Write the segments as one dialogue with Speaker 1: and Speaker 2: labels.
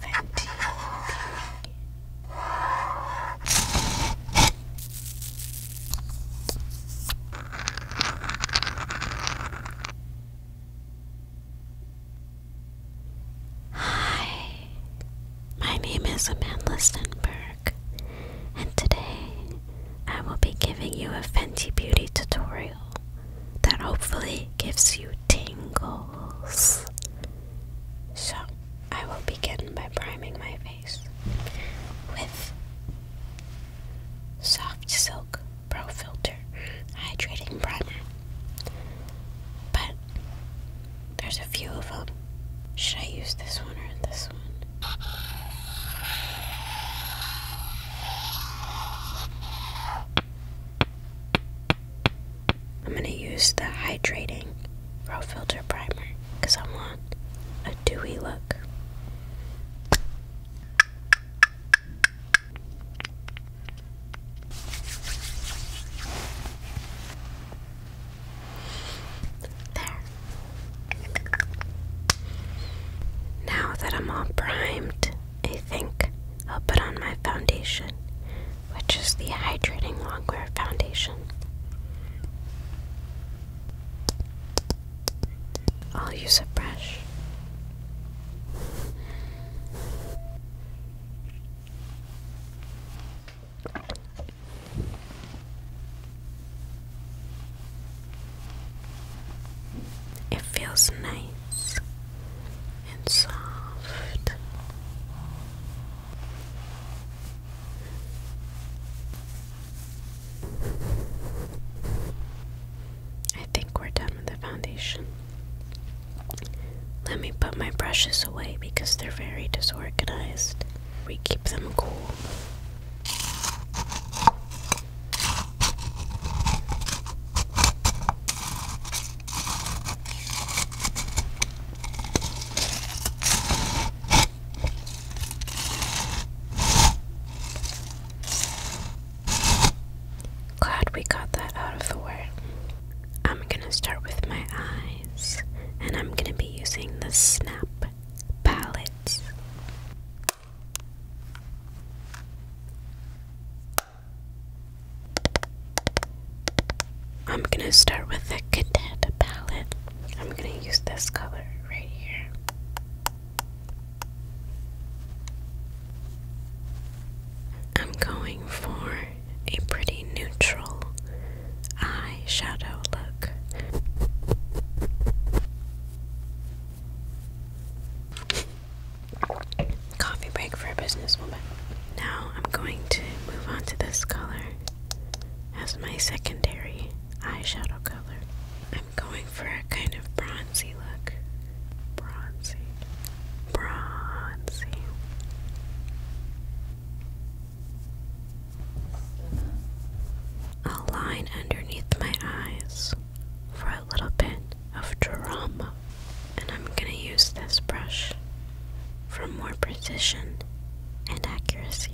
Speaker 1: Fenty Hi, my name is Amanda Stenberg, and today I will be giving you a Fenty Beauty tutorial that hopefully gives you tingles. So, I will begin by priming my face with Soft Silk Pro Filter Hydrating Primer. But there's a few of them. Should I use this one or this one? I'm going to use the Hydrating Raw Filter Primer because I want a dewy look. There. Now that I'm all primed, I think I'll put on my foundation, which is the Hydrating Longwear Foundation. I'll use a brush. It feels nice and soft. I think we're done with the foundation. Let me put my brushes away because they're very disorganized. We keep them cool. Glad we got that out of the way. I'm gonna start with my eyes, and I'm gonna be using the Snap palette. I'm gonna start with the cadet palette. I'm gonna use this color right here. I'm going for a pretty neutral eyeshadow look. Coffee break for a businesswoman. Now I'm going to move on to this color as my secondary eyeshadow color. I'm going for a kind of bronzy look. Bronzy. Bronzy. A line underneath my eyes for a little bit of drama. And I'm going to use this brush for more precision and accuracy.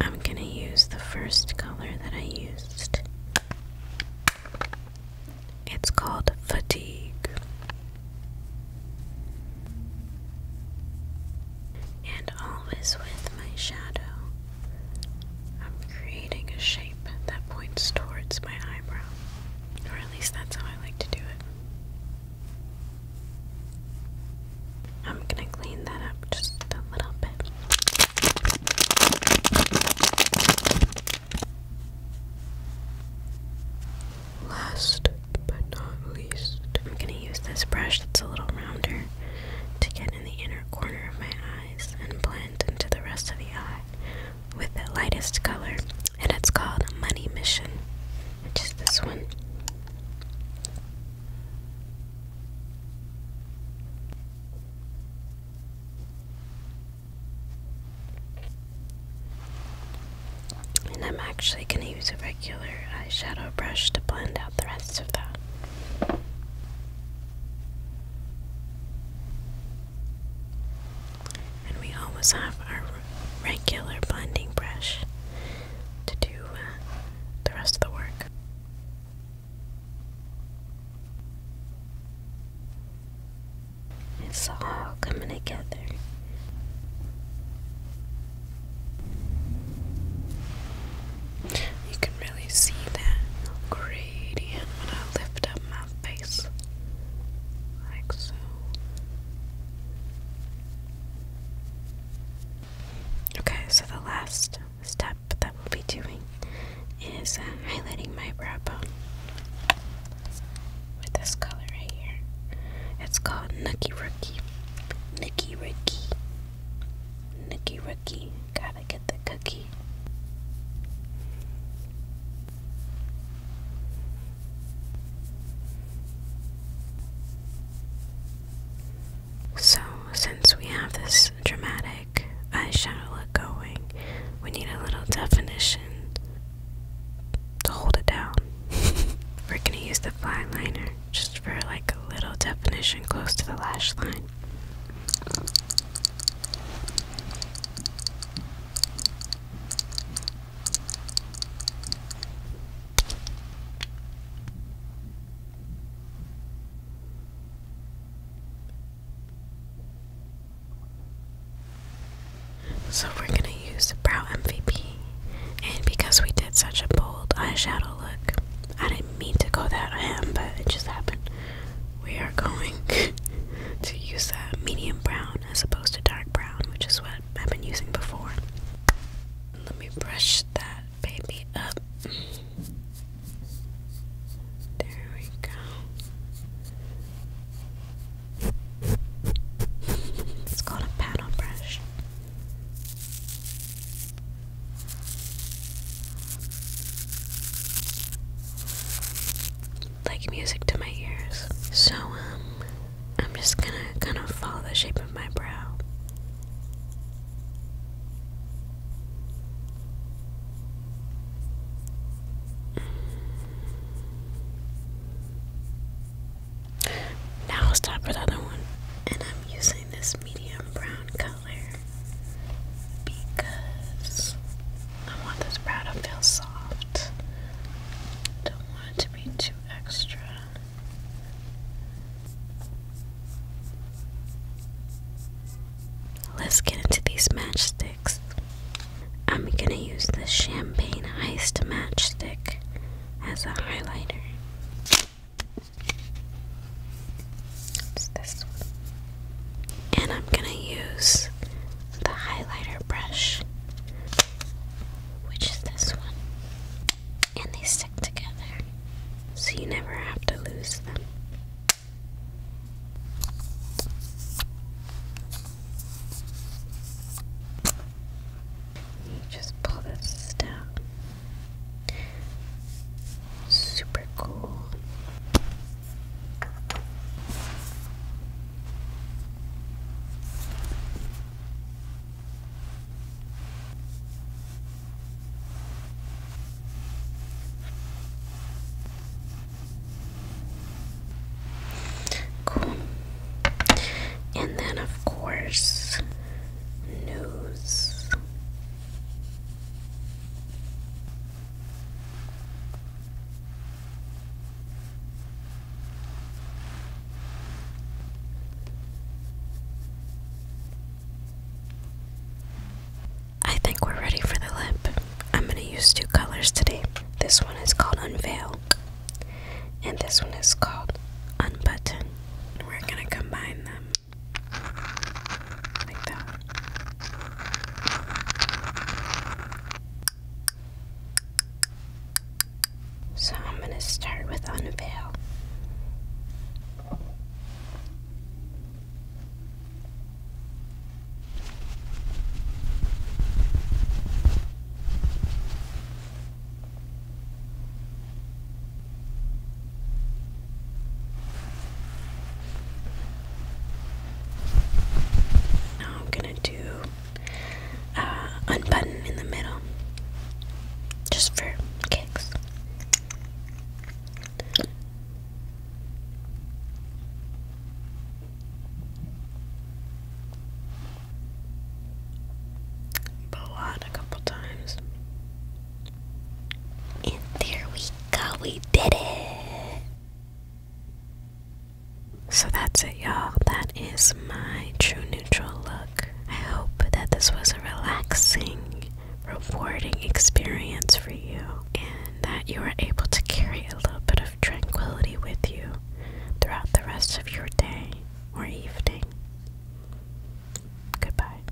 Speaker 1: I'm going to use the first color that I used. It's called Fatigue and always with my shadow, I'm creating a shape that points towards my eyebrow. Or at least that's how I like to do it. I'm gonna clean that up just a little bit. Last but not least, I'm gonna use this brush that's a little rounder to get in the inner corner of my eyes and blend into the rest of the eye with the lightest color, and it's called a Money Mission, which is this one. And I'm actually going to use a regular eyeshadow brush to blend out the rest of that. And we always have our regular blending brush to do uh, the rest of the work. It's all coming together. You can really see that gradient when I lift up my face, like so. Okay, so the last step that we'll be doing is uh, highlighting my brow bone with this color right here. It's called Nookie Rose. Ricky. Nicky Ricky. Nicky Ricky. Gotta get the cookie. So, since we have this dramatic eyeshadow look going, we need a little definition to hold it down. We're gonna use the fly liner just for like a little definition close to the lash line. So we're gonna use the Brow MVP. And because we did such a bold eyeshadow look, I didn't mean to go that ham, but it just happened. We are going to use that medium brown as opposed to dark brown, which is what I've been using before. Let me brush that baby up. There we go. It's called a paddle brush. Like music to my ears. So, um, I'm just gonna kind of follow the shape of my brow. Now I'll stop with the other one. And I'm using this medium brown color because I want this brown to feel soft. Don't want it to be too extra. Let's get into these matchsticks. I'm gonna use this champagne iced matchstick as a highlighter. And I'm gonna use the highlighter brush, which is this one. And they stick together, so you never have to lose them just pull this down. Super cool. Cool. And then, of course, news. I think we're ready for the lip. I'm going to use two colors today. This one is called Unveil, and this one is called Unbutton. We're going to combine them like that. So I'm going to start with Unveil. Now I'm gonna do uh, unbutton in the middle, just for kicks a couple times. And there we go, we did it! So that's it, y'all. That is my true neutral look. I hope that this was a relaxing, rewarding experience for you that you are able to carry a little bit of tranquility with you throughout the rest of your day or evening. Goodbye.